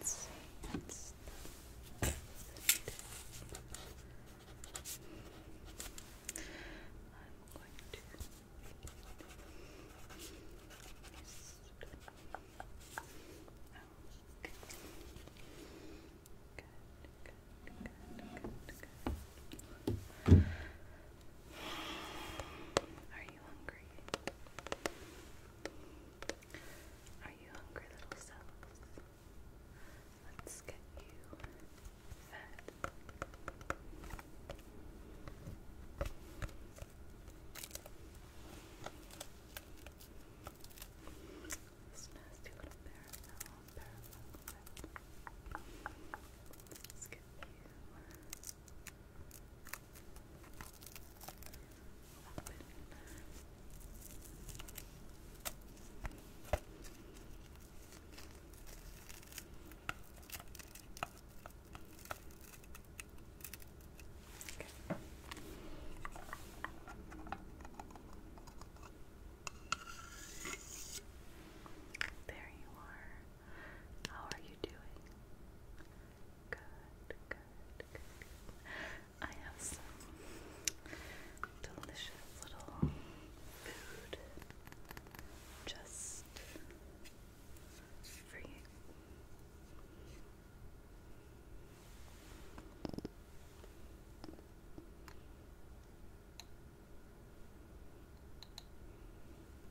Let's see. That's not I'm going to okay. Good, good, good, good, good. Are you hungry? Are you hungry, little selves? Let's get you fed. little parallel, Let's get you there you are. How are you doing? Good, good, I have some delicious little food just for you.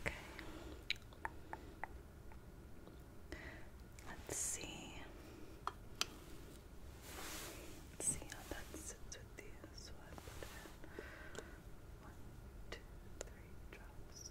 Okay. Let's see. Let's see how that sits with these. So I one, two, three drops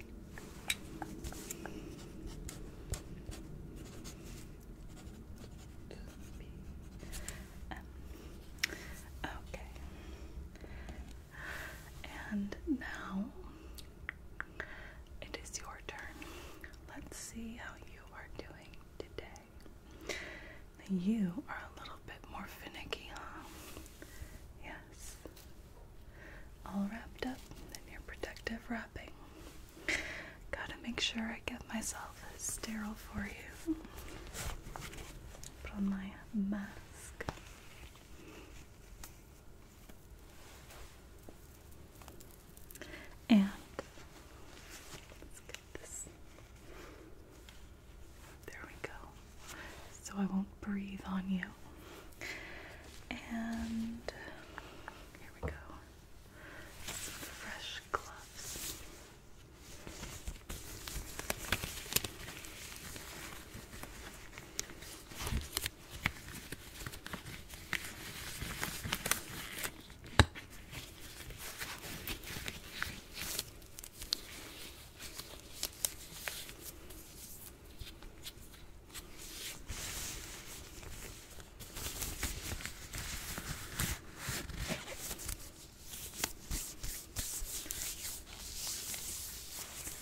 okay. And now it is your turn. Let's see how you are doing today. You are a little bit more finicky, huh? Yeah, all wrapped up in your protective wrapping. Gotta make sure I get myself sterile for you. Put on my mask. And let's get this there we go. So I won't breathe on you. And here we go. fresh gloves.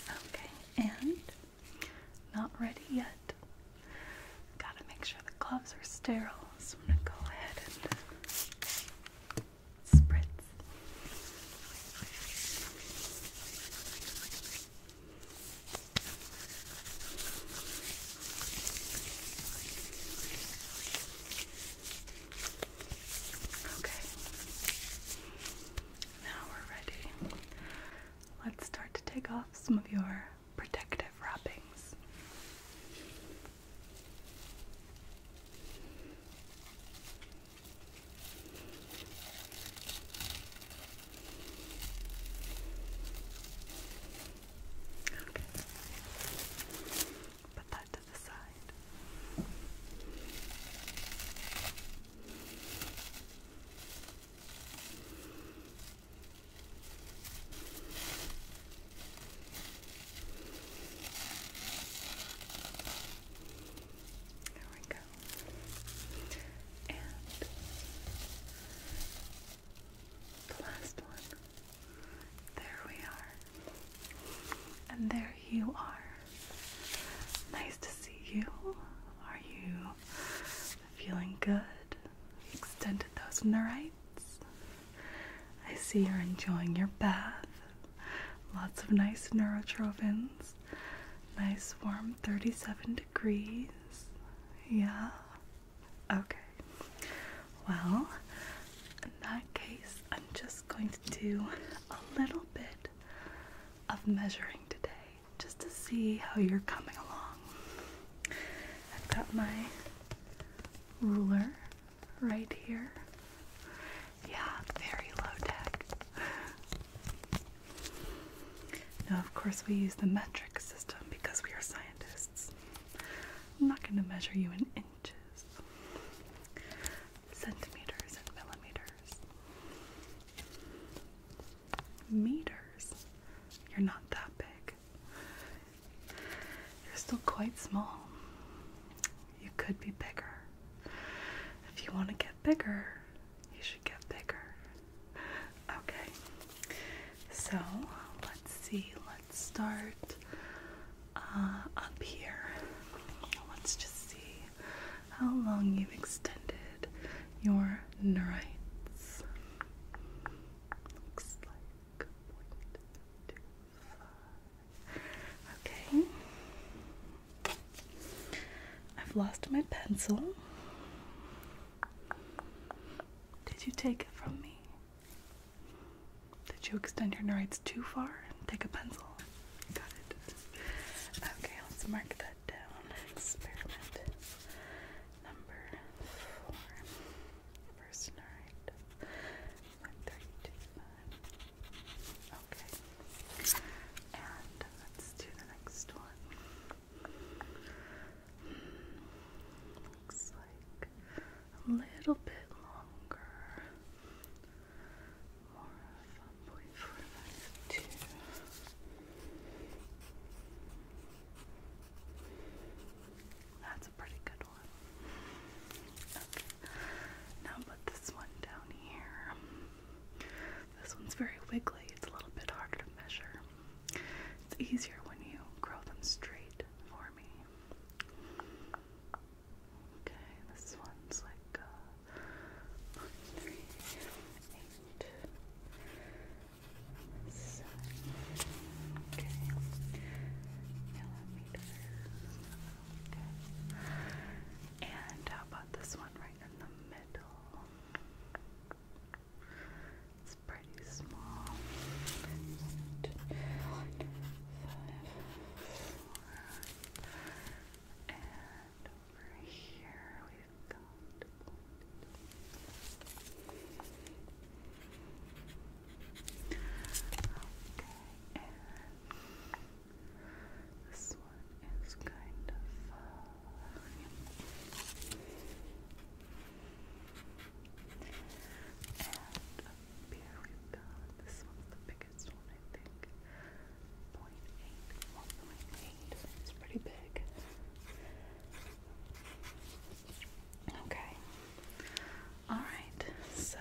Okay, and not ready yet. Gotta make sure the gloves are sterile, so I'm gonna go ahead and Okay, now we're ready. Let's start to take off some of your protective wrappings. Okay. Put that to the side. Okay. There we go. And the last one. There we are. And there you are. Nice to see you. Are you feeling good? Extended those in the rights. I see you're enjoying your bath. Lots of nice neurotrophins. Nice warm 37 degrees. Yeah. Okay. Well, in that case, I'm just going to do a little bit of measuring today just to see how you're coming along. I've got my ruler right here, yeah, very low tech. now, of course, we use the metric system because we are scientists. I'm not going to measure you in inches, centimeters, and millimeters. Meters? You're not that big. You're still quite small you could be bigger. If you want to get bigger, you should get bigger. Okay, so let's see, let's start uh, up here. Let's just see how long you've extended your neurites. Looks like Okay. I've lost my pencil. Did you take it from me? Did you extend your rights too far and take a pencil? Got it. Okay, let's mark that down. Experiment number four. First 132.5. Okay. And let's do the next one. Looks like a little bit longer. More of a That's a pretty good one. Now put this one down here. This one's very wiggly. It's a little bit harder to measure. It's easier when you grow them straight for me. Okay, this one's like uh, one, three, eight. Seven. Okay. And how about this one right in the middle? It's pretty small. and over here we've got this one is kind of uh, And up here this one's the biggest one, I think. 0 It's pretty big. Okay. All right, so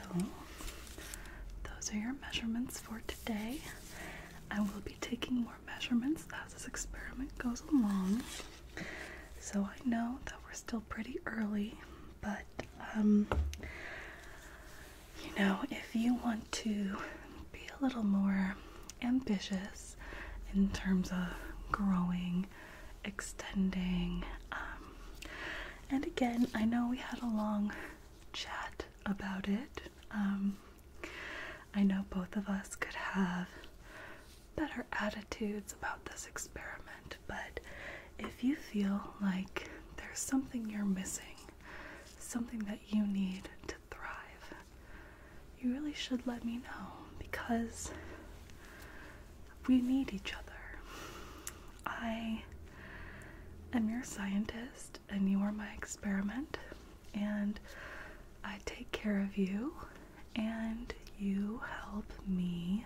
those are your measurements for today. I will be taking more measurements as this experiment goes along. So I know that we're still pretty early, but um, you know, if you want to be a little more ambitious in terms of growing, extending, um, and again, I know we had a long chat about it. Um, I know both of us could have better attitudes about this experiment, but if you feel like there's something you're missing, something that you need to thrive, you really should let me know because we need each other. I i am your scientist and you are my experiment, and I take care of you, and you help me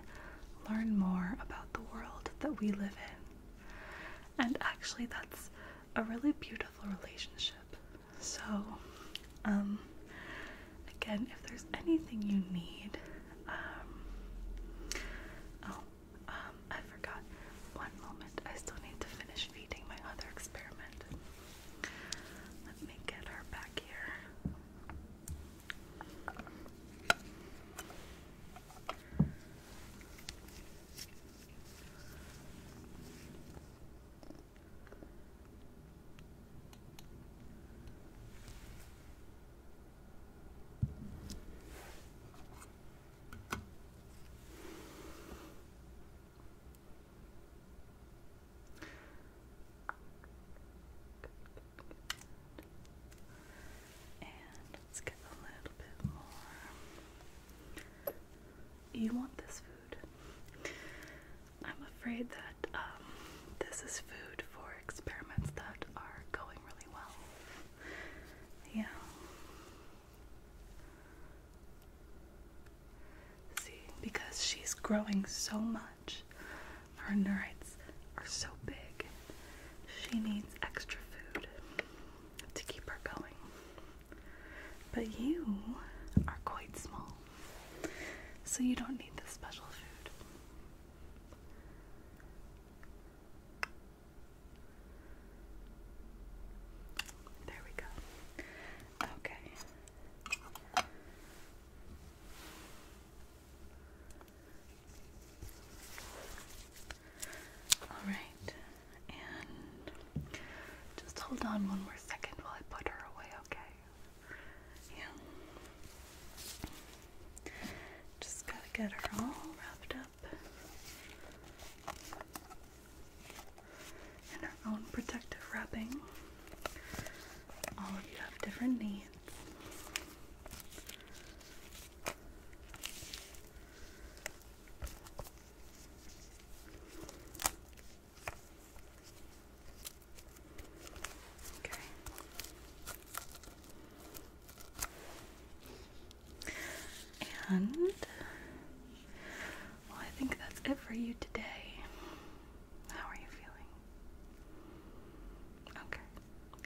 learn more about the world that we live in. And actually, that's a really beautiful relationship. So, um, again, if there's anything you need, um, oh, um, I forgot. One moment. I still need to finish feeding my other experiment. Let me get her back here. And let's get a little bit more. You want this food. I'm afraid that um, this is food for experiments that are going really well. Yeah. See, because she's growing so much, her neurites are so big. She needs extra food to keep her going. But you are quite small, so you don't need the special food. There we go. Okay. All right. And just hold on one more second while I put her away, okay? Yeah. Just gotta get her all wrapped up in her own protective wrapping. All of you have different needs. Okay. And well, I think that's it for you today. How are you feeling? Okay.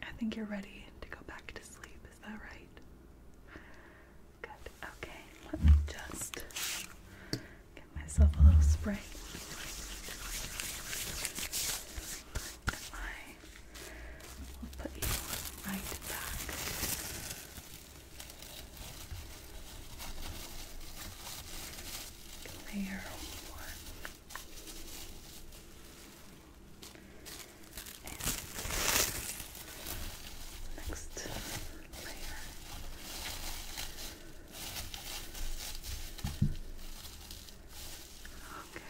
I think you're ready to go back to sleep. Is that right? Good. Okay. Let me just give myself a little spray and I will put you right back. Layer one. And next layer. Okay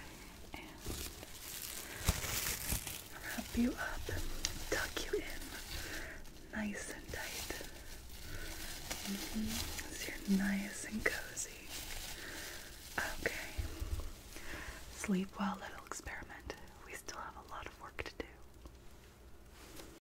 wrap you up, tuck you in nice and tight. Mm-hmm. So you're nice and cozy. Okay. Sleep well, little experiment. We still have a lot of work to do.